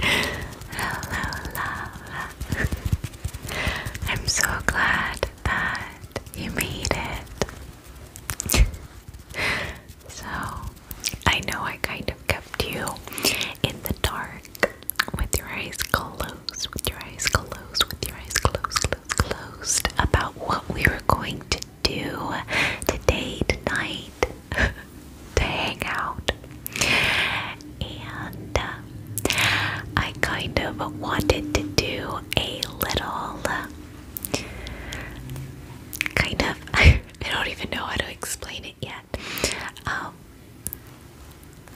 Hello, love. I'm so glad that you made it. so, I know I kind of kept you in the dark with your eyes closed, with your eyes closed, with your eyes closed, closed, closed about what we were going to do today, tonight, to hang out. And uh, I kind of wanted to do a little kind of, I don't even know how to explain it yet. Um,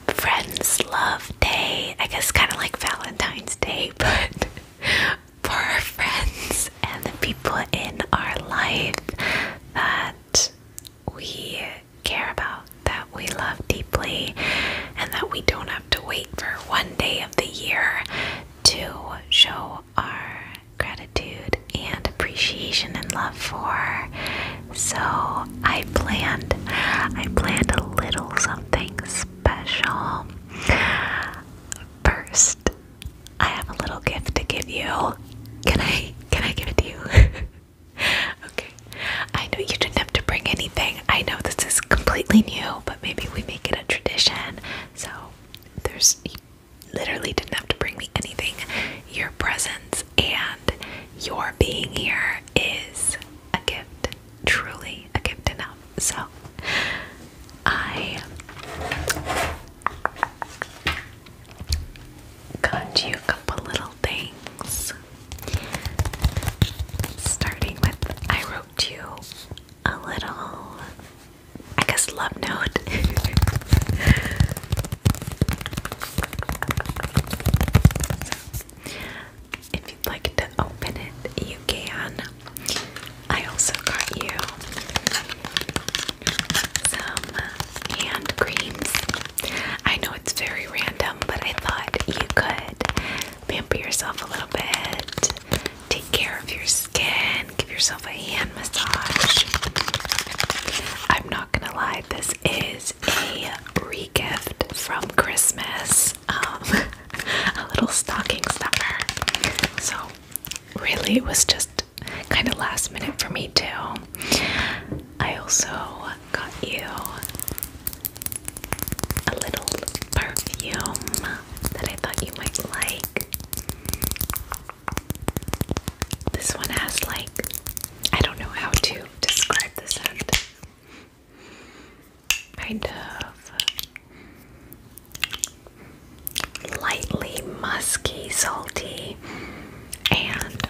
friends Love Day, I guess kind of like Valentine's Day, but for our friends and the people in our life that we care about, that we love deeply, and that we don't have to wait for one day of the year to show our gratitude and appreciation and love for. So I planned I planned a little something special. First, I have a little gift to give you. Can I can I give it to you? okay. I know you didn't have to bring anything. I know this is completely new, but maybe we make it a tradition. So there's literally didn't have to bring me anything. Your presence and your being here is a gift. Truly a gift enough. So I got you a couple little things. Starting with, I wrote you a little, I guess, love note. if you'd like to open it, you can. I also got you some hand creams. I know it's very random, but I thought you could pamper yourself a little bit, take care of your skin, give yourself a hand massage. I'm not gonna lie, this is a regift from Christmas. Um, a little stocking stuffer. So, really, it was just kind of last minute for me, too. I also got you a little perfume that I thought you might like. This one has, like, I don't know how to describe this scent. Kind of lightly musky, salty, and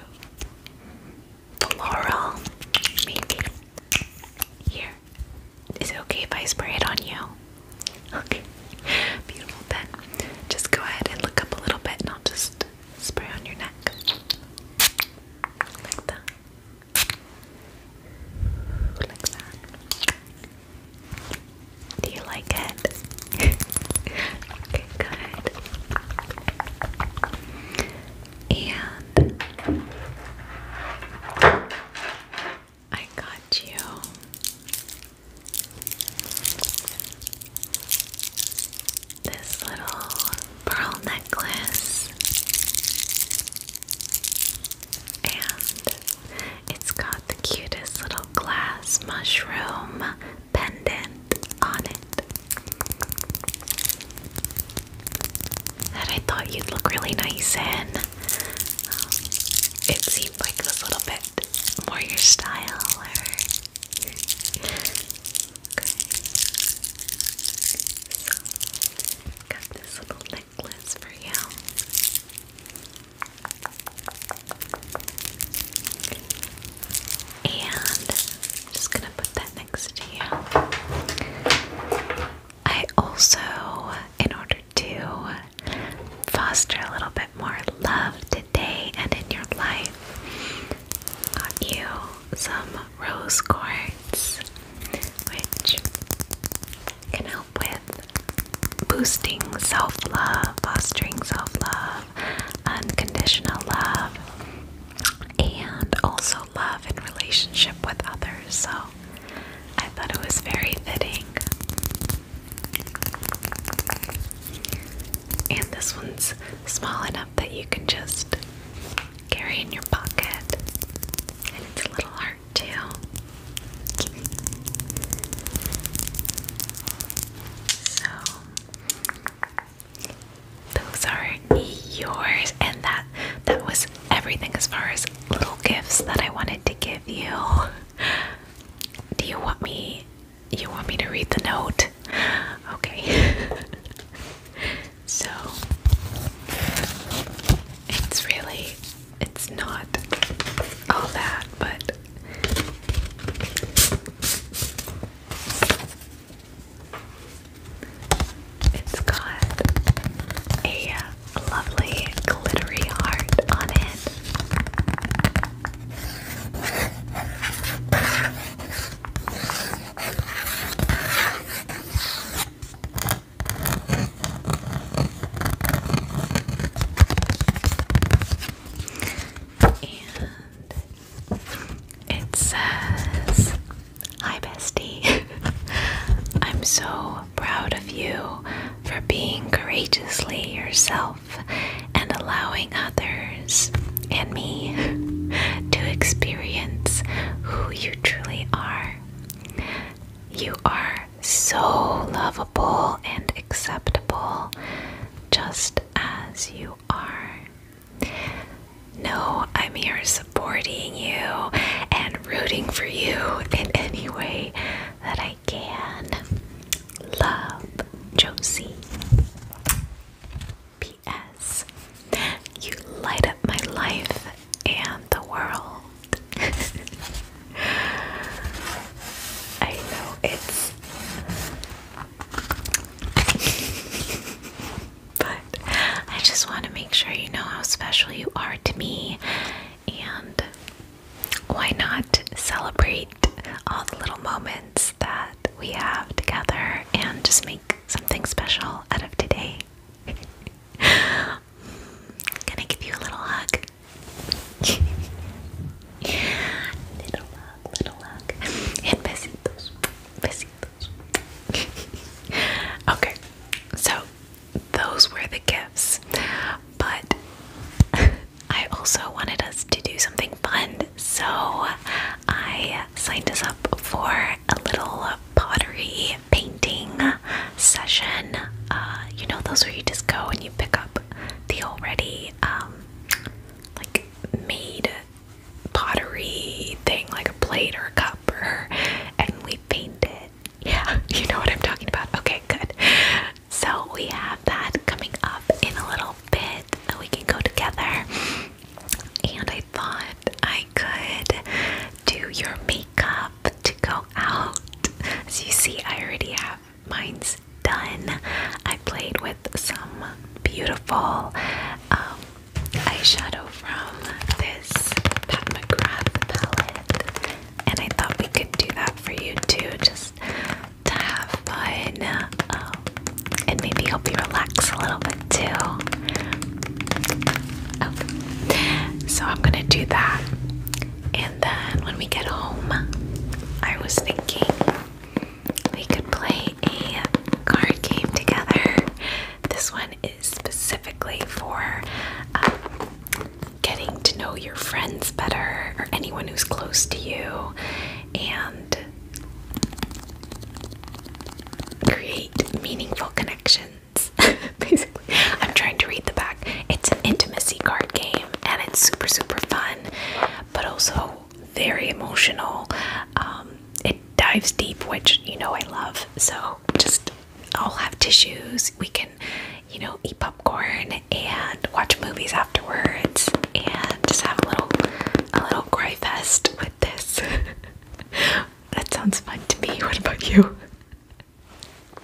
the laurel, maybe. Here. Is it okay if I spray it on you? Okay. Beautiful then. Just go ahead and look up a little bit and I'll just spray on your neck. Like that. Like that. Do you like it? Okay, good. And I got you. This little pearl necklace, and it's got the cutest little glass mushroom pendant on it that I thought you'd look really nice in. it seemed like it a little bit more your style. Or... got this little necklace for you. And I'm just gonna put that next to you. I also, in order to foster a little bit more love today and in your life, got you some rose quartz, which can help with boosting self love, fostering self love, unconditional love, and also love in relationship with others. So I thought it was very fitting. And this one's small enough that you can just carry in your pocket. And it's a little heart too. So those are yours, and that that was everything as far as little gifts that I wanted to give you. Do you want me you want me to read the note? Okay. so it's really it's not all that, but it's got a lovely glittery heart on it. And it says, Hi, bestie. I'm so proud of you for being courageously yourself and allowing others and me to experience who you truly are. You are so lovable and acceptable just as you are. No, I'm here supporting you and rooting for you in any way that I can. Love, Josie. P.S. You light up my life and the world. I know it's but I just want to make sure you know how special you are to me, and why not celebrate all the little moments that we have together and just make something special out of today? Can I give you a little hug? little little luck. And besitos. Besitos. okay, so those were the gifts. But I also wanted us to do something fun, so I signed us up for a little pottery painting session. Uh, you know, those where you just go and you pick up the already um, like made pottery thing, like a plate or a cup, or, and we painted. Yeah, you know what I'm talking about. Okay, good. So we have that coming up in a little bit that we can go together. And I thought I could do your makeup to go out. As you see, I already have mine's done. I played with some beautiful um, eyeshadow from this Pat McGrath palette, and I thought we could do that for you too, just to have fun um, and maybe help you relax a little bit too. So I'm gonna do that, and then when we get home, I was thinking we could play a card game together. This one is specifically for um, getting to know your friends better or anyone who's close to you and create meaningful connections. Basically, I'm trying to read the back. It's an intimacy card game and it's super, super fun, but also very emotional. Um, it dives deep, which you know I love. So just I'll have tissues. We can, you know, eat popcorn and watch movies afterwards, and just have a little a little cry fest with this. that sounds fun to me. What about you?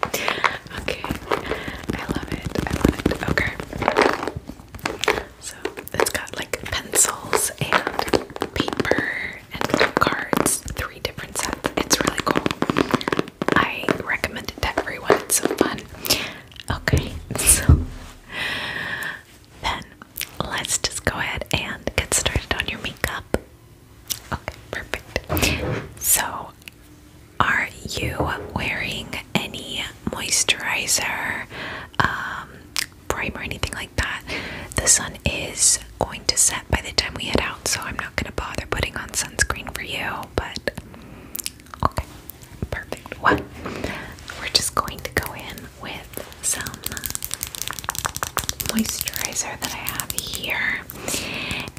Okay, I love it. I love it. Okay. So it's got like pencils and paper and cards, three different sets. It's really cool. I recommend it to everyone. It's so fun. Okay, so then let's just go ahead and get started on your makeup. Okay, perfect. So, are you wearing any moisturizer, um, primer, anything like that. The sun is going to set by the time we head out, so I'm not going to bother putting on sunscreen for you, but okay, perfect. Well, we're just going to go in with some moisturizer that I have here.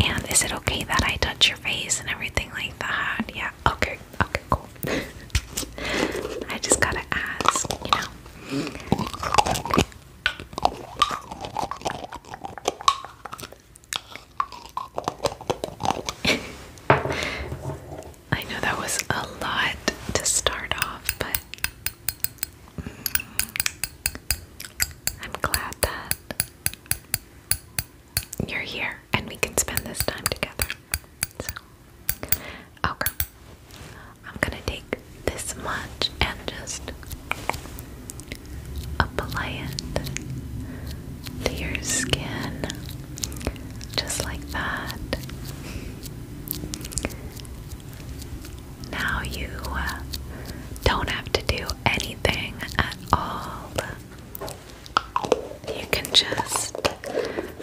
And is it okay that I touch your face and everything like that? Yeah, okay, okay, cool. I just gotta ask, you know. I know that was a lot to start off, but mm, I'm glad that you're here and we can spend this time together okay. I'm gonna take this much and just apply it to your skin, just like that. Now you uh, don't have to do anything at all. You can just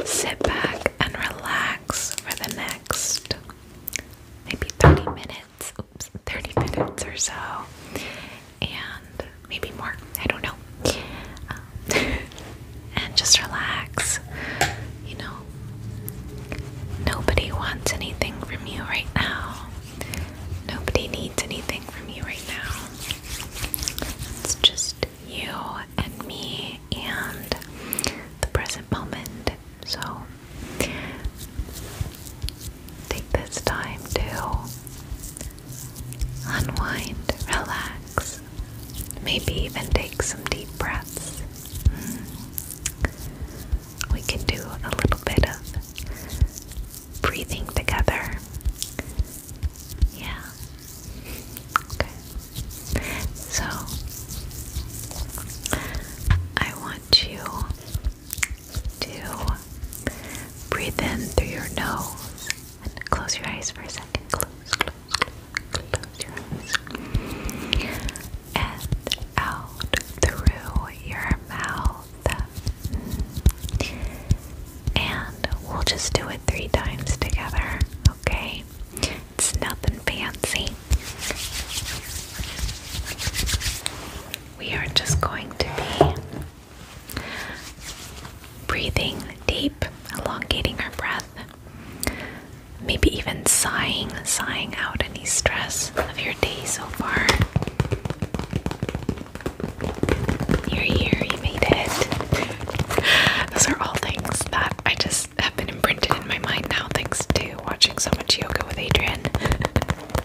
sit back and relax for the next maybe 30 minutes, oops, 30 minutes or so, and maybe more, I don't know. Um, and just relax. You know, nobody wants anything from you right now, nobody needs anything from you right now. It's just you and me and the present moment. So take this time to unwind, relax, maybe even take some deep breaths. Hmm. We can do a little bit of breathing together. Yeah. Okay. So I want you to breathe in through your nose and close your eyes for a second. Close, close, close, close your eyes. And out through your mouth and we'll just do it three times together, okay? It's nothing fancy. We are just going to be breathing deep, elongating our breath, maybe even sighing, sighing out any stress of your day so far. You're here, you made it. Those are all things that I just have been imprinted in my mind now, thanks to watching so much yoga with Adrian.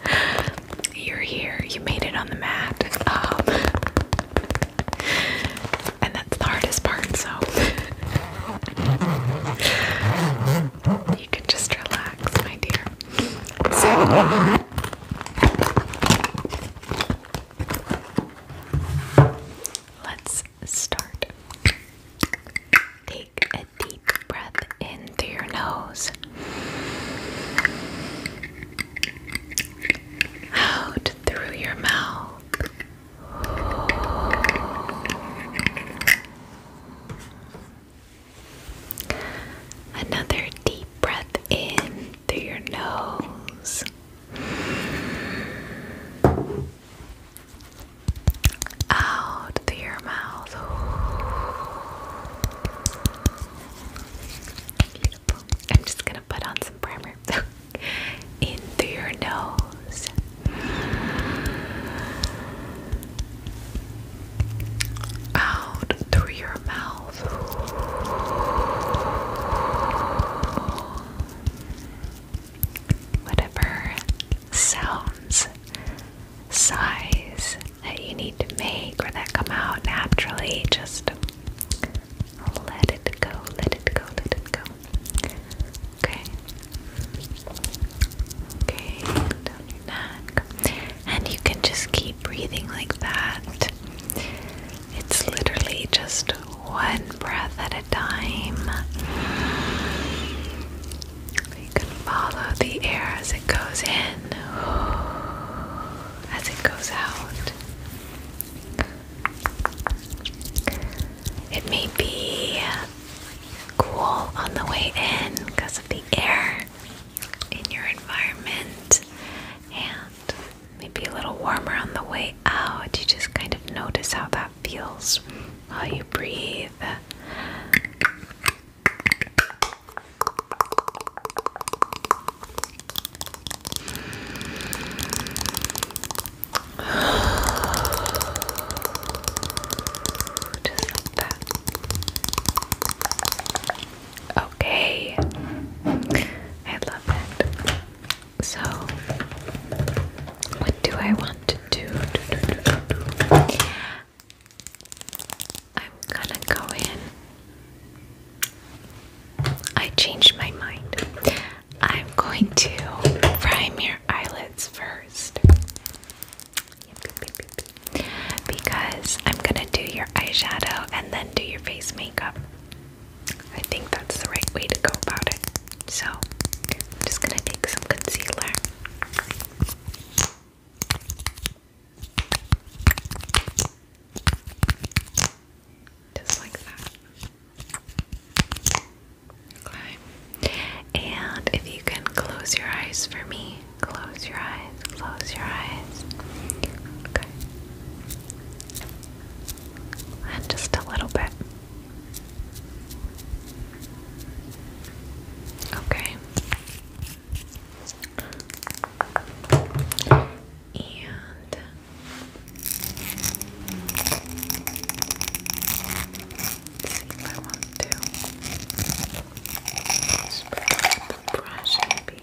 You're here, you made it on the mat. Um, and that's the hardest part, so you can just relax, my dear. Let's start. Take a deep breath in through your nose. Out through your mouth. Another deep breath in through your nose. Out through your mouth. I'm just gonna put on some primer. In your nose. Out through your mouth whatever sounds, sighs that you need to make or that come out naturally, just let it go, let it go, let it go. Okay. Okay, down your neck. And you can just keep breathing like that. It's literally just one breath at a time. You can follow the air as it goes in, as it goes out. It may be cool on the way in because of the air in your environment and maybe a little warmer on the way out. You just kind of notice how that feels while you breathe. Just like that. Okay. I love it. So, what do I want to do? do, do, do, do? I'm gonna go in. I changed my mind. I'm going to prime your eyelids first. Because I'm gonna do your eyeshadow and then do your face makeup. I think that's the right way to go about it. So, I'm just gonna take some concealer. Just like that. Okay. And if you can close your eyes for me, close your eyes, close your eyes. Okay and just a little bit. Okay. And see if I want to spread brush maybe.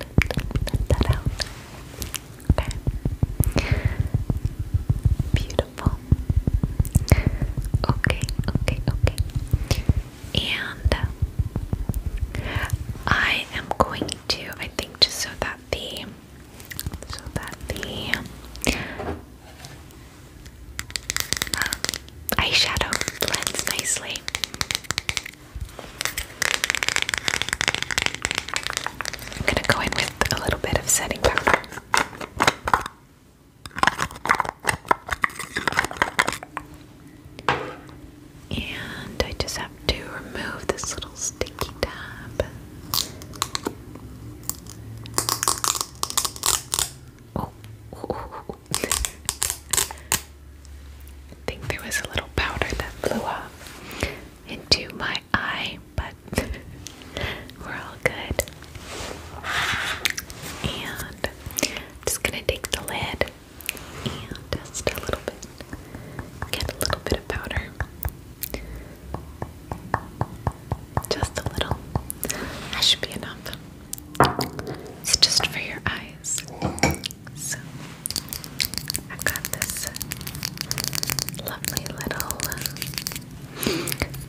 let that out. Okay. Beautiful. Okay, okay, okay. And uh, I am going to, I think, just so that the, so that the um, eyeshadow blends nicely. I'm going to go in with a little bit of setting powder. And I just have to remove this little sticky tab. I think there was a little powder that flew off into my eye, but we're all good. And just gonna take the lid and dust a little bit, get a little bit of powder. Just a little. That should be enough. It's just for your eyes. So i got this lovely little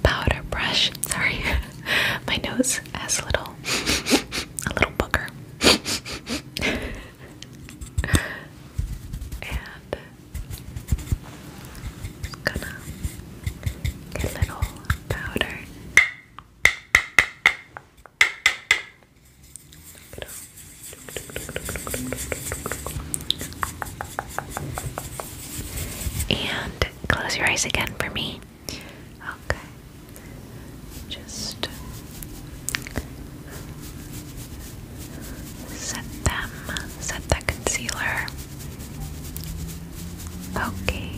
powder brush. Sorry, my nose has a little a little booger. and gonna get little powder and close your eyes again for me. Okay. Just set them, set that concealer. Okay.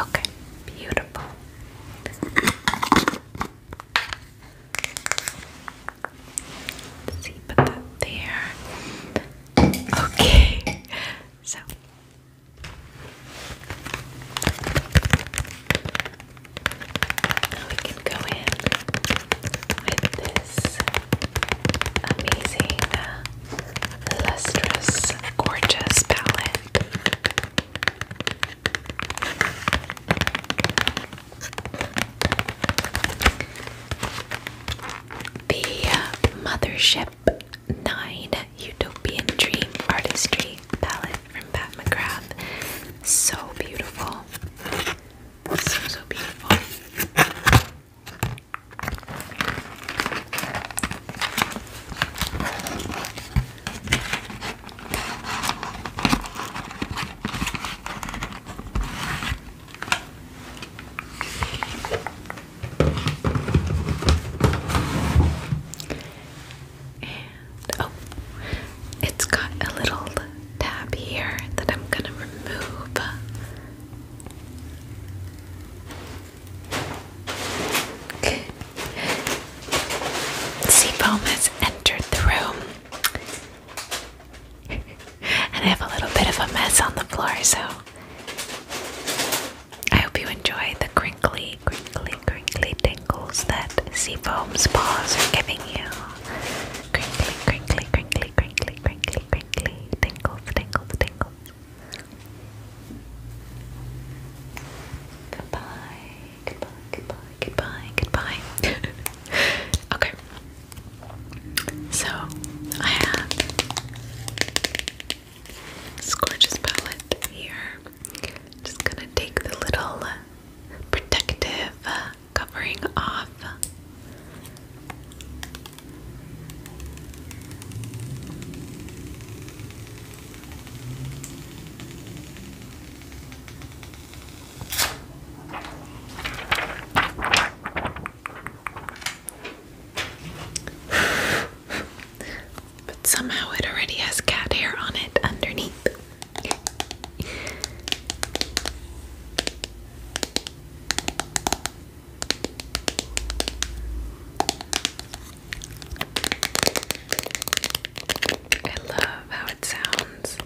Okay, beautiful. see, put that there. Okay, so we can go in with this amazing, uh, gorgeous palette. The Mothership 9 Utopian Dream Artistry palette from Pat McGrath. So beautiful beautiful. So, so beautiful. And oh, it's got a little tab here that I'm gonna remove. Seafoam has entered the room. and I have a little bit of a mess on the floor, so I hope you enjoy the crinkly, crinkly, crinkly tingles that Seafoam's paws are giving you. Crinkly, crinkly, crinkly, crinkly, crinkly, crinkly. Tingles, tingles, tingles. Goodbye, goodbye, goodbye, goodbye, goodbye. okay. So, I have this palette here. Just gonna take the little protective uh, covering off. but somehow it already has cat hair on it underneath. I love how it sounds.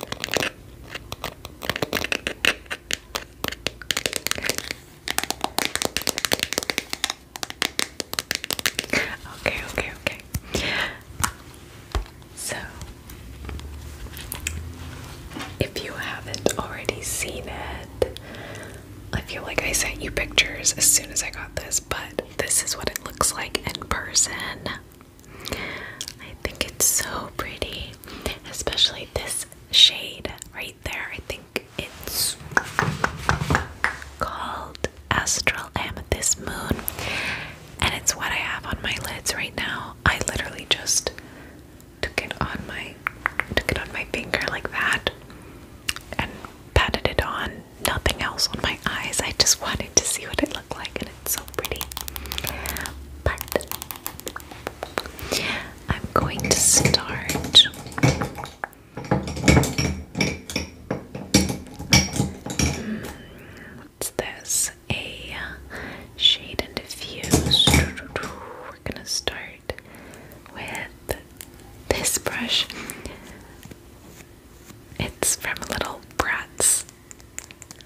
Okay, okay, okay. So, if you haven't already seen it, I feel like I sent you pictures as soon as I got this, but this is what it looks like in person. I think it's so pretty, especially this shade right there. I think it's called Astral Amethyst Moon and it's what I have on my lids right now. I literally just took it on my took it on my finger like that and patted it on. Nothing else on my eyes. I just wanted to see what it looked like and it's so pretty. I'm going to start hmm, What's this? a shade and diffuse. We're gonna start with this brush. It's from little Bratz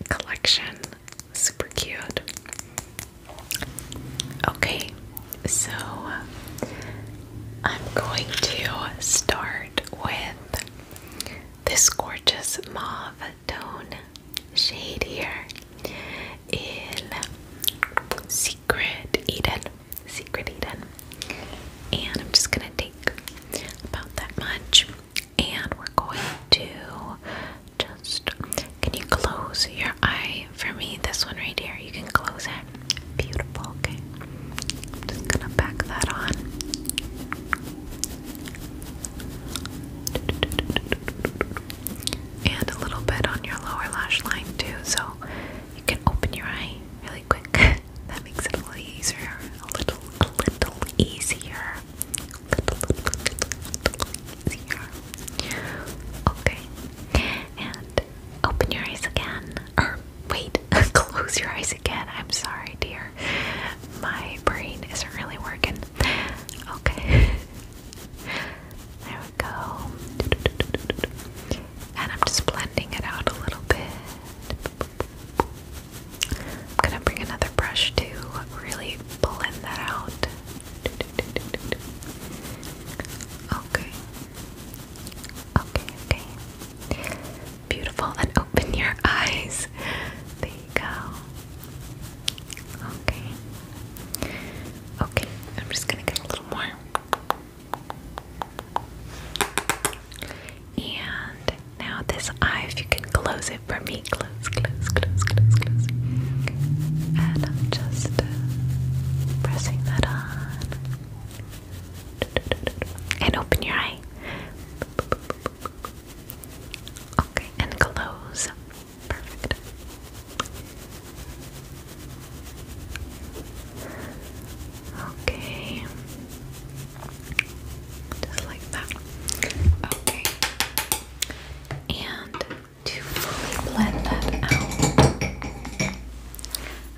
collection. Super cute. Okay, so I'm going to start with this gorgeous mauve tone shade here in Secret Eden. Secret Eden. And I'm just gonna take about that much. And we're going to just. Can you close your eye for me? This one right here. You can close it. Beautiful. Okay. I'm just gonna back that on. And a little bit on your lower lash line too, so you can open your eye really quick. that makes it a little easier. A little, a little easier. Okay. And open your eyes again. Or wait, close your eyes again. I'm sorry, dear. My brain isn't really working. Okay. There we go. And I'm just blending it out a little bit. I'm gonna bring another brush to really blend that out. Okay. Okay, okay. Beautiful. And open your eyes. There you go. Okay. Okay. I'm just going to get a little more. And now this eye, if you can close it for me. Close, close, close, close, close. And just uh, pressing that on. And open your eye. Okay, and close. Perfect. Okay. Just like that. Okay. And to fully blend that out,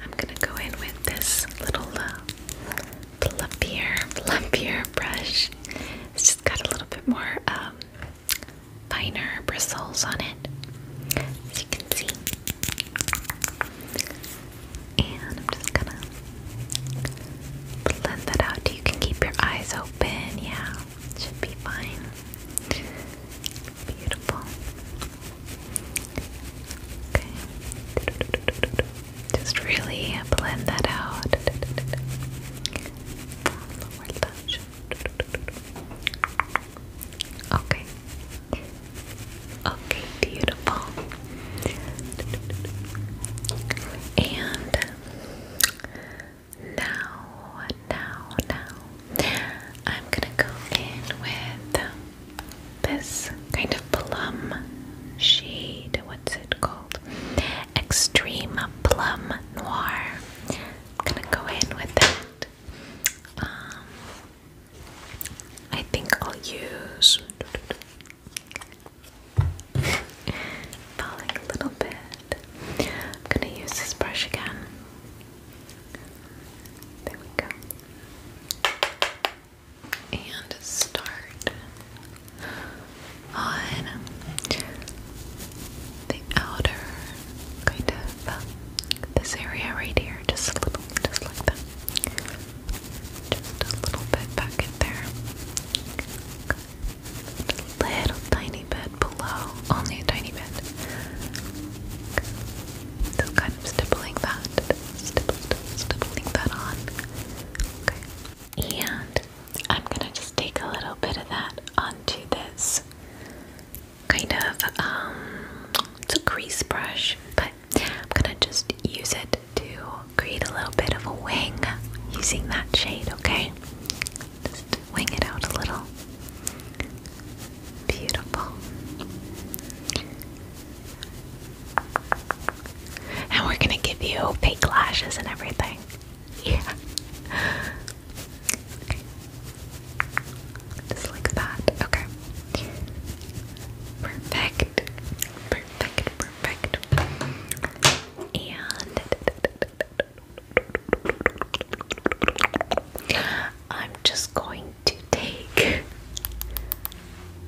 I'm gonna go in with this little uh, plumpier, plumpier brush. It's just got a little bit more um, finer bristles on it, as you can see. And I'm just gonna blend that out. You can keep your eyes open. Yeah, should be fine. Beautiful. Okay. Just really blend that out. Okay. Okay, beautiful. And now, now, now, I'm gonna go in with this kind of plum shade. What's it called? Extreme Plum Noir. i gonna go in with that. Um, I think I'll use falling a little bit. I'm gonna use this brush again. There we go and start on the outer kind of this area right here, just a little, just like that, just a little bit back in there, a little tiny bit below, only a tiny bit, so kind of stippling that, stippling that on. Okay. And I'm gonna just take a little bit of that onto this kind of um it's a crease brush, but I'm gonna just use it to create a little bit of a wing using that shade, okay? Just wing it out a little. Beautiful. And we're gonna give you fake lashes and everything. Yeah. Just like that. Okay. Perfect. Perfect. Perfect. And I'm just going to take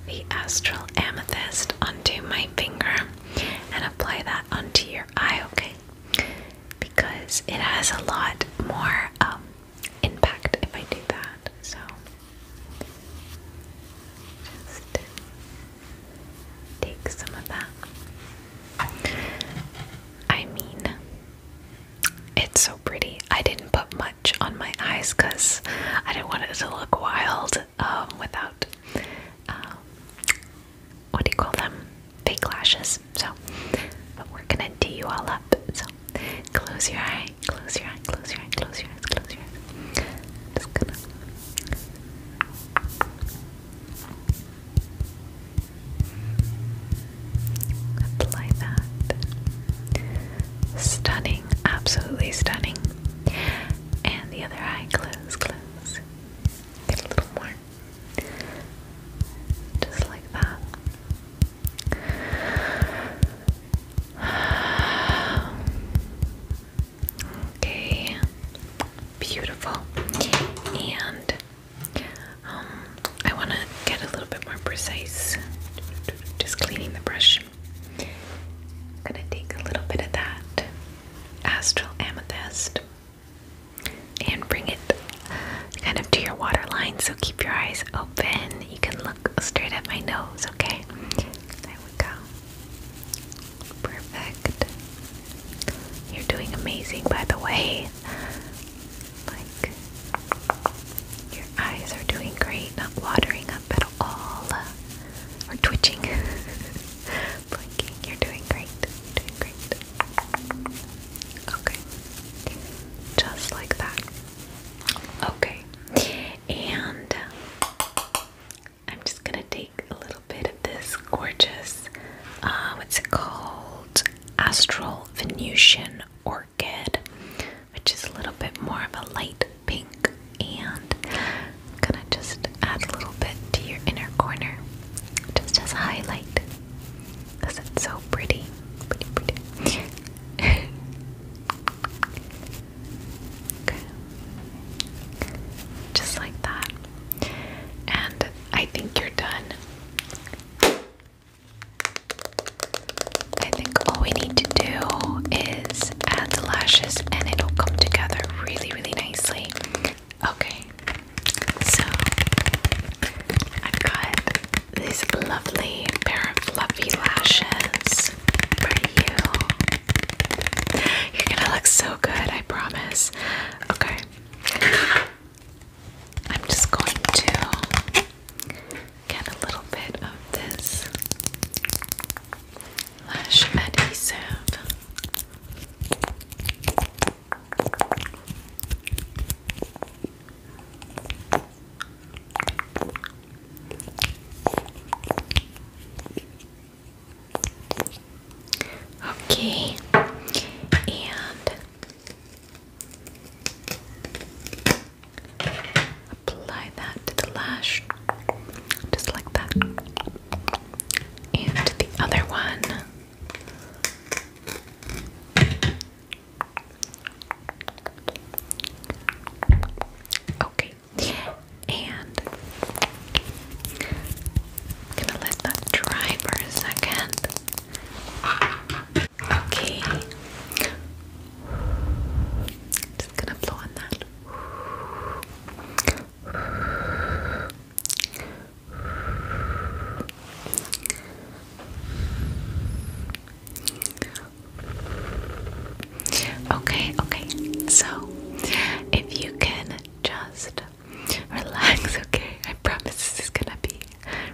the astral amethyst onto my finger and apply that onto your eye, okay? Because it has a lot more um, impact if I do that. So, just take some of that. I mean, it's so pretty. I didn't put much on my eyes because I didn't want it to look wild um, without um, what do you call them? Fake lashes. So, but we're gonna do you all up. So, close your eye, close your eye, close your eye, close your eyes, close your eyes. Just gonna. Apply that. Stunning, absolutely stunning. And the other eye, close, close, get a little more, just like that. Okay, beautiful. And um, I want to get a little bit more precise. Just cleaning the brush. gonna take a little bit of that astral amethyst and bring it kind of to your waterline. So keep your eyes open. You can look straight at my nose, okay? There we go. Perfect. You're doing amazing, by the way. Like, your eyes are doing great, not watering up at all or twitching. You're doing great. You're doing great. Okay. Just like that. Okay. And uh, I'm just gonna take a little bit of this gorgeous, uh, what's it called? Astral Venusian Orchid, which is a little bit more of a light pink and i gonna just add a little bit to your inner corner just as a highlight because it's so pretty pretty pretty okay just like that and I think you're done I think all we need to do is add the lashes and it'll come together really really, nicely. Okay, so i got these lovely pair of fluffy lashes for you. You're gonna look so good, I promise. Okay, I'm just going to get a little bit of this lash adhesive. Okay, and apply that to the lash just like that. And the other one Okay. And gonna let that dry for a second. Okay. Just gonna blow on that. Okay, okay. So, if you can just relax, okay? I promise this is gonna be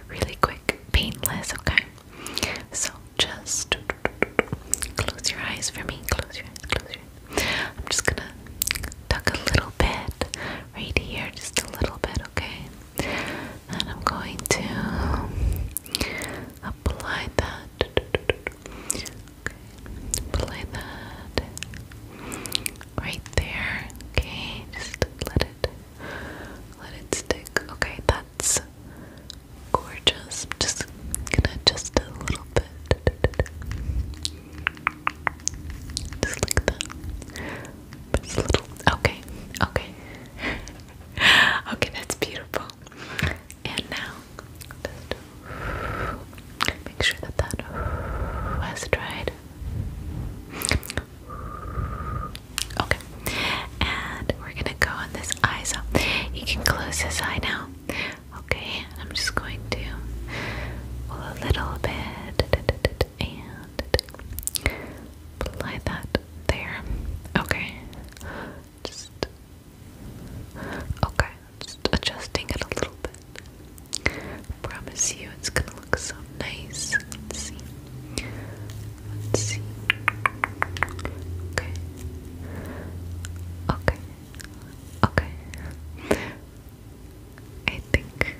really quick, painless, okay? So, just close your eyes for me. Close your eyes, close your eyes. I'm just gonna tuck a little bit right here, just a little bit, okay? And I'm going to apply that. Okay. Apply that right there. Okay, just let it let it stick. Okay, that's gorgeous. just gonna just a little bit. Just like that. Just little. Okay, okay. okay, that's beautiful. And now, make sure that that has dried. Okay, and we're gonna go on this eye. So he can close his eye now. Okay, I'm just going to pull a little bit and apply that there. Okay, just okay, just adjusting it a little bit. Promise you, it's gonna look so nice. Let's see. Let's see. Okay. Okay. Okay. I think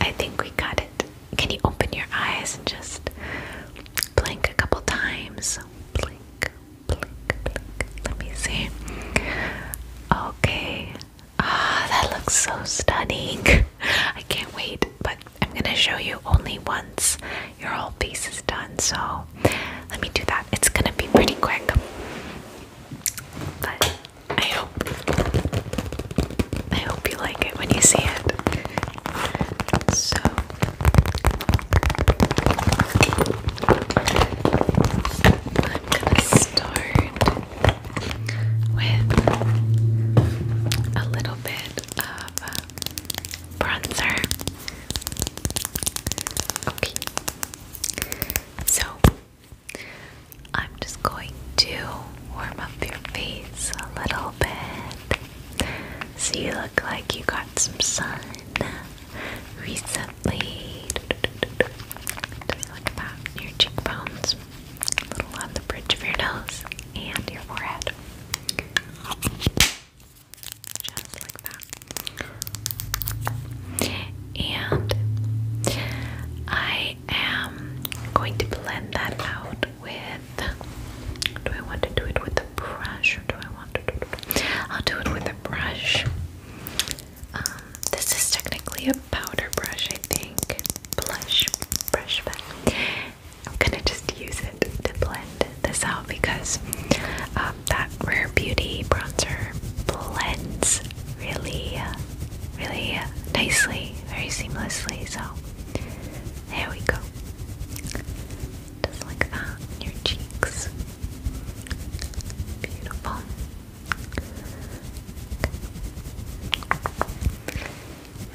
I think we got it. Can you open your eyes and just blink a couple times? Blink, blink, blink. Let me see. Okay. Ah, that looks so stunning. I can't wait, but I'm gonna show you only once your whole piece is done, so let me do that. It's gonna be pretty quick. But I hope I hope you like it when you see it. So I'm gonna start with a little bit of bronzer. Okay, so, I'm just going to warm up your face a little bit. So, you look like you got some sun recently. Just look about your cheekbones, a little on the bridge of your nose, and your forehead just like that. And I am going to blend that out with. Do I want to do it with a brush or do I want to do it? I'll do it with a brush. Um, this is technically a powder brush, I think. Blush brush, but I'm gonna just use it to blend this out because. Um, that Rare Beauty bronzer blends really, really nicely, very seamlessly. So there we go. Just like that your cheeks. Beautiful.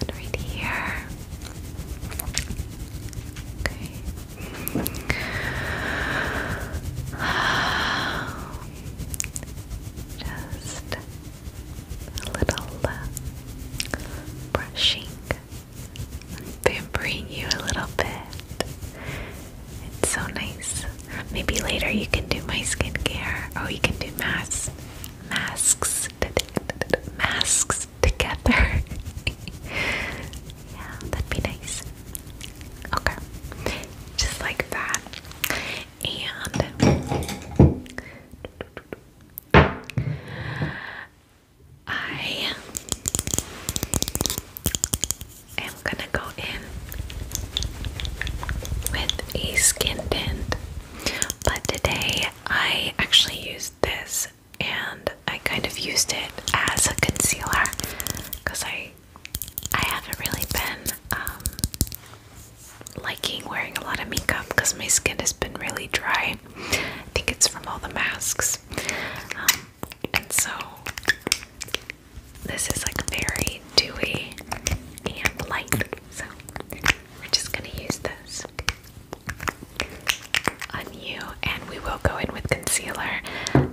And right here. Okay. Just a little uh, brushing, pampering you a little bit. It's so nice. Maybe later you can do my skincare. or oh, you can do masks, masks, masks together. yeah, that'd be nice. Okay, just like that. And I am gonna go in with a skin tint, but today I actually used this and I kind of used it as a concealer because I I haven't really been um, liking wearing a lot of makeup because my skin has been really dry. I think it's from all the masks. Um, and so this is like very dewy and light. So we're just going to use this on you and we will go in with concealer.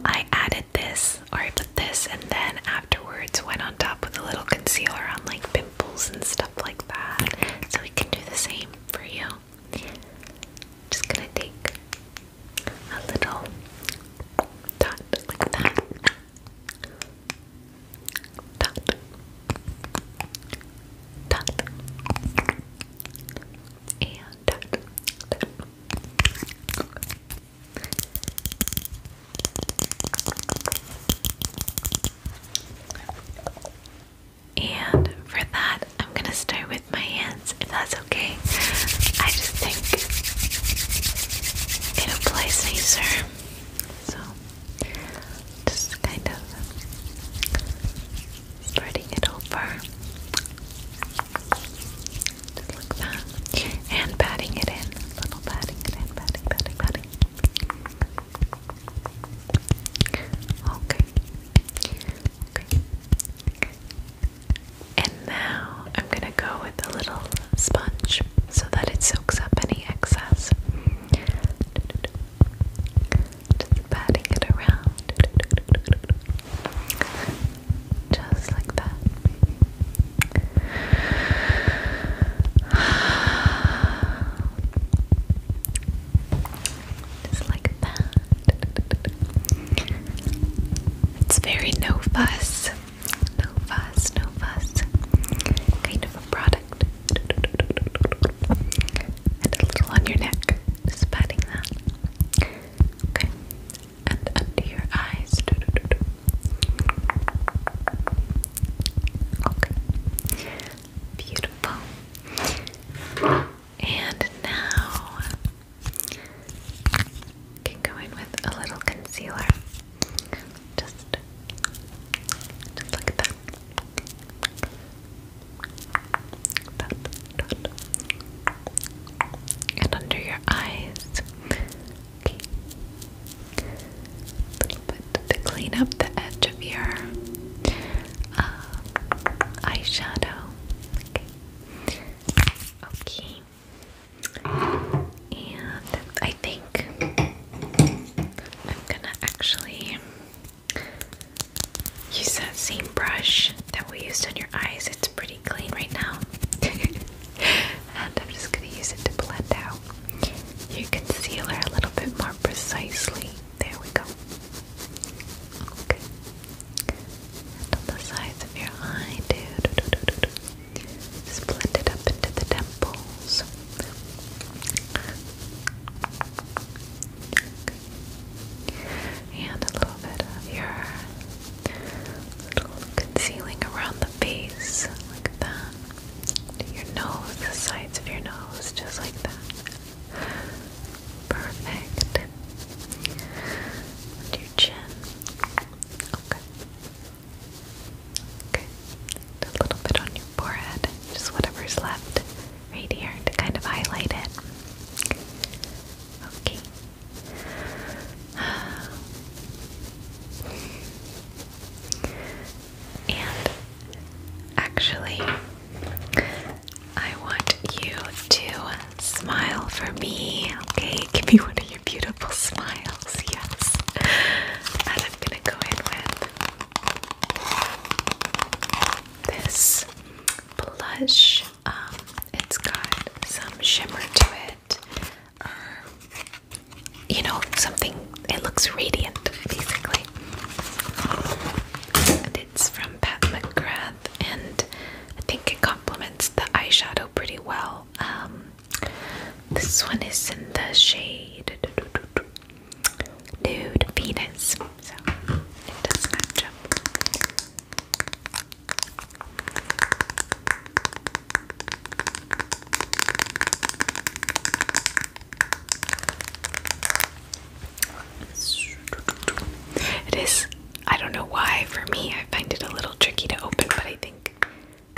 I added this or put this and then afterwards went on top with a little concealer on like pimples and stuff like that. So we can do the same for you. Just gonna take a little dot like that. Dot. Dot. And Dot. And for that, I'm gonna start with my hands, if that's okay. I just think it applies nicer. So, just kind of spreading it over. Just like that. And patting it in. little patting it in. Patting, patting, patting. Okay. Okay. And now I'm gonna go with a little sponge so that it soaks up any excess. patting it around. Just like that. Just like that. It's very no fuss. No fuss, no fuss. Kind of a product. And a little on your neck. Just that. Okay and under your eyes. Okay. Beautiful. And now can go in with a little concealer. Just just like that. Dot, dot, and under your eyes. Okay. A to clean up the edge of your uh, eyeshadow. Okay. Okay. And I think I'm gonna actually use that same brush that we used on your eyes. It's pretty clean right now. and I'm just going to use it to blend out your concealer a little bit more precisely. There we go. Okay. And on the sides of your eye, do, do, do, do, do, do. Just blend it up into the temples and a little bit of your little concealing around the face, like that. Do your nose, the sides of your nose, just like that. Perfect. And your chin. Okay. Okay. And a little bit on your forehead, just whatever's left right here to kind of highlight it. Okay. And actually, I want you to smile for me, okay? Give me one of your beautiful smiles, yes. And I'm gonna go in with this blush um, it's got some shimmer to it, um, you know, something. It looks radiant, basically. And it's from Pat McGrath, and I think it complements the eyeshadow pretty well. Um, this one is in the shade Nude Venus, so it does match up. It is, I don't know why, for me, I find it a little tricky to open, but I think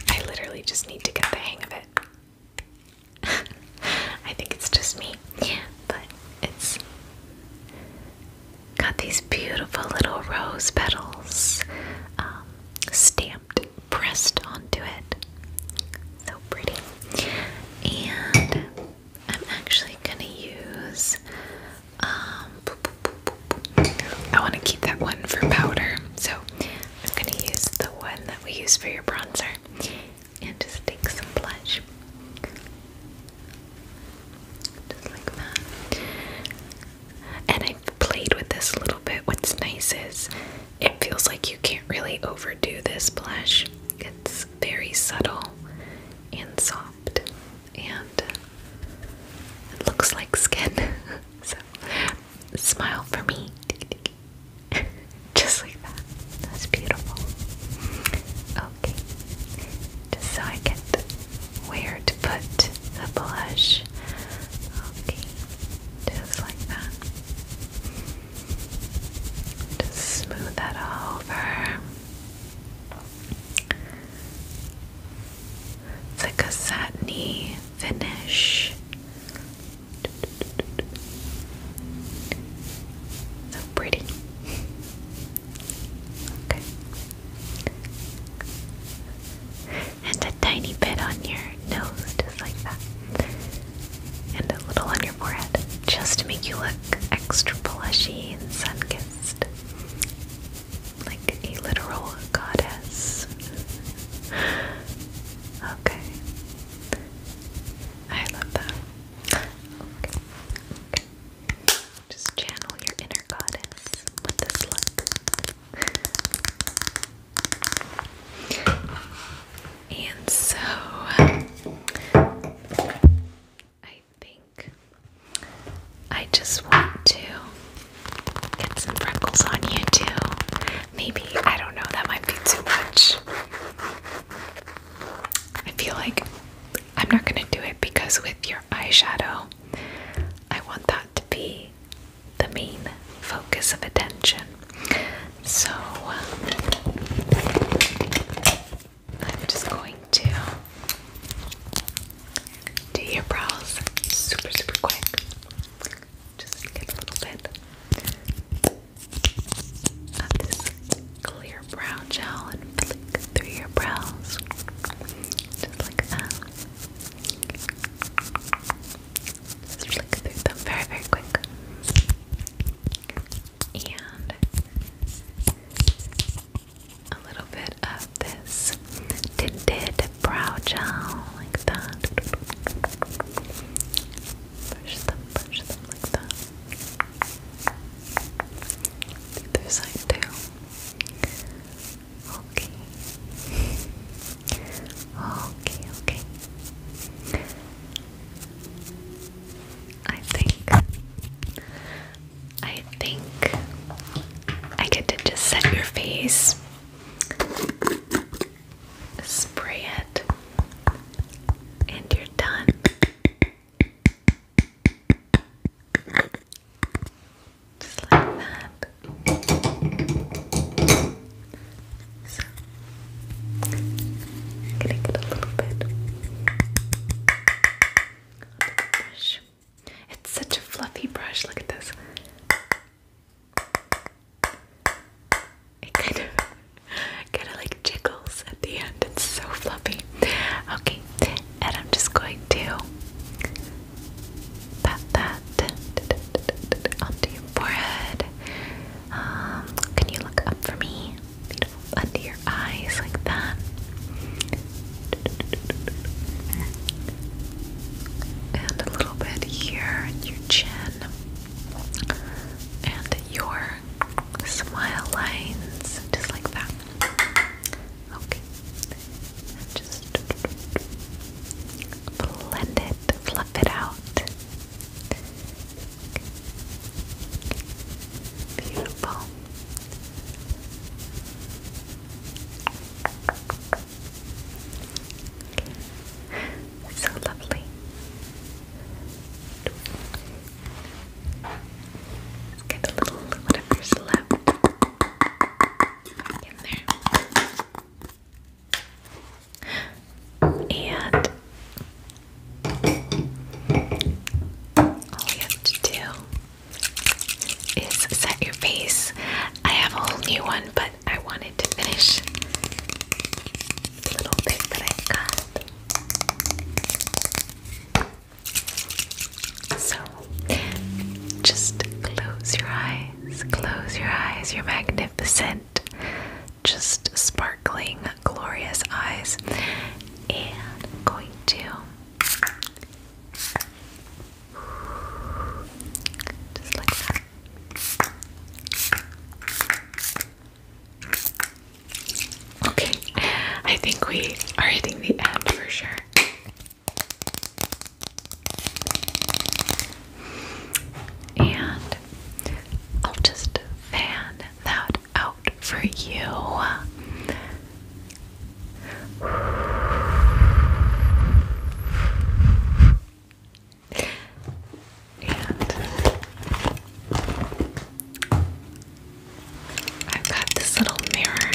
I literally just need to get the hang of it. I think it's just me, but it's Got these beautiful little rose petals um, stamped, pressed onto it. So pretty. And I'm actually gonna use. Um, I want to keep that one for powder, so I'm gonna use the one that we use for your bronzer, and just take some blush. Just like that. And i played with this a little bit. What's nice is it feels like you can't really overdo this blush. It's very subtle and soft, and it looks like skin. so, smile for me. Just like that. That's beautiful. Okay just so I get where to put the blush. Okay, just like that. Just smooth that over. It's like a satiny finish. So pretty. Okay. And a tiny bit on your nose, just like that. And a little on your forehead, just to make you look extra plushy and sun kissed. Like a literal goddess. Okay. I love that. okay. Just channel your inner goddess with this look. and so, I think I just want to get some freckles on you too. Maybe, I don't know, that might be too much. I feel like I'm not gonna do it because with your eyeshadow. I want that to be the main focus of attention. So um, I'm just going to do your brows super, super quick. Just get a little bit of this clear brow gel and flick through your brows. Just like that. Just flick through them very, very quick. And a little bit of this tinted brow gel, like that. Push them, push them like that. The other side, too. Okay. Okay, okay. I think I think I get to just set your face. Spray it and you're done. Just like that. So, gonna get a little bit brush. It's such a fluffy brush, look at this. It kind of kind of like jiggles at the end. It's so fluffy. Okay, and I'm just going to pat that onto your forehead. Um, can you look up for me? Beautiful. Under your eyes like that. And a little bit here and your chin. And your smile lines, just like that. Okay. And just blend it, fluff it out. Beautiful. So lovely. Let's get a little whatever's left. And all you have to do is set your face. I have a whole new one, but I wanted to finish the little bit that I got. So just close your eyes, close your eyes, You're magnificent, just sparkling, glorious eyes. And going to Okay, I think we are hitting the end for sure. And I'll just fan that out for you. And I've got this little mirror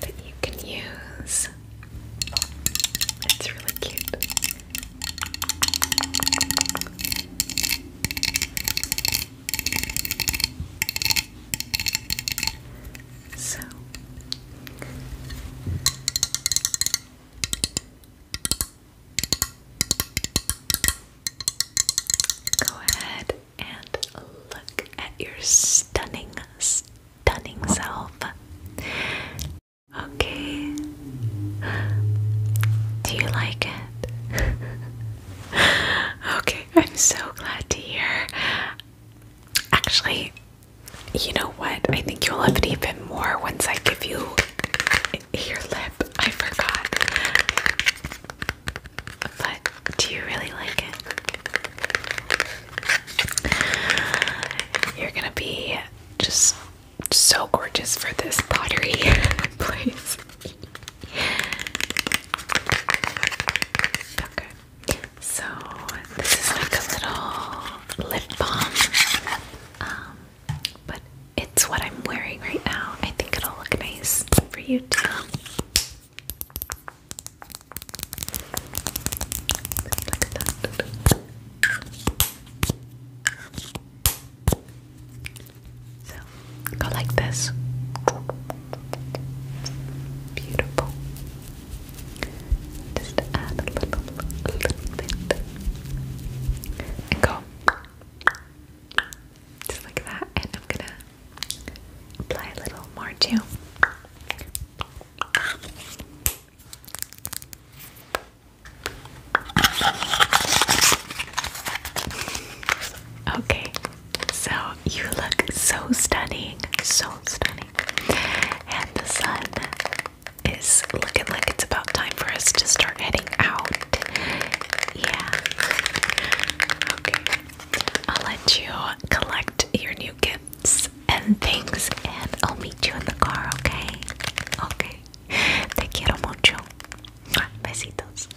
that you can use. It's really cute. So go ahead and look at your stunning, stunning self. Okay. Do you like it? okay, I'm so glad to hear. Actually, you know what? I think you'll love it even more once I give you your lip. I forgot. But do you really like it? You're gonna be just so gorgeous for this pottery place. Okay. So this is like little lip balm, um, but it's what I'm wearing right now. I think it'll look nice for you to go like this. Beautiful. Just add a little, a little bit. And go just like that, and I'm gonna apply a little more too. Okay, so you look so stunning, so stunning, and the sun is looking like it's about time for us to start heading out. Yeah. Okay. I'll let you collect your new gifts and things, and I'll meet you in the car, okay? Okay. Te quiero mucho. Besitos.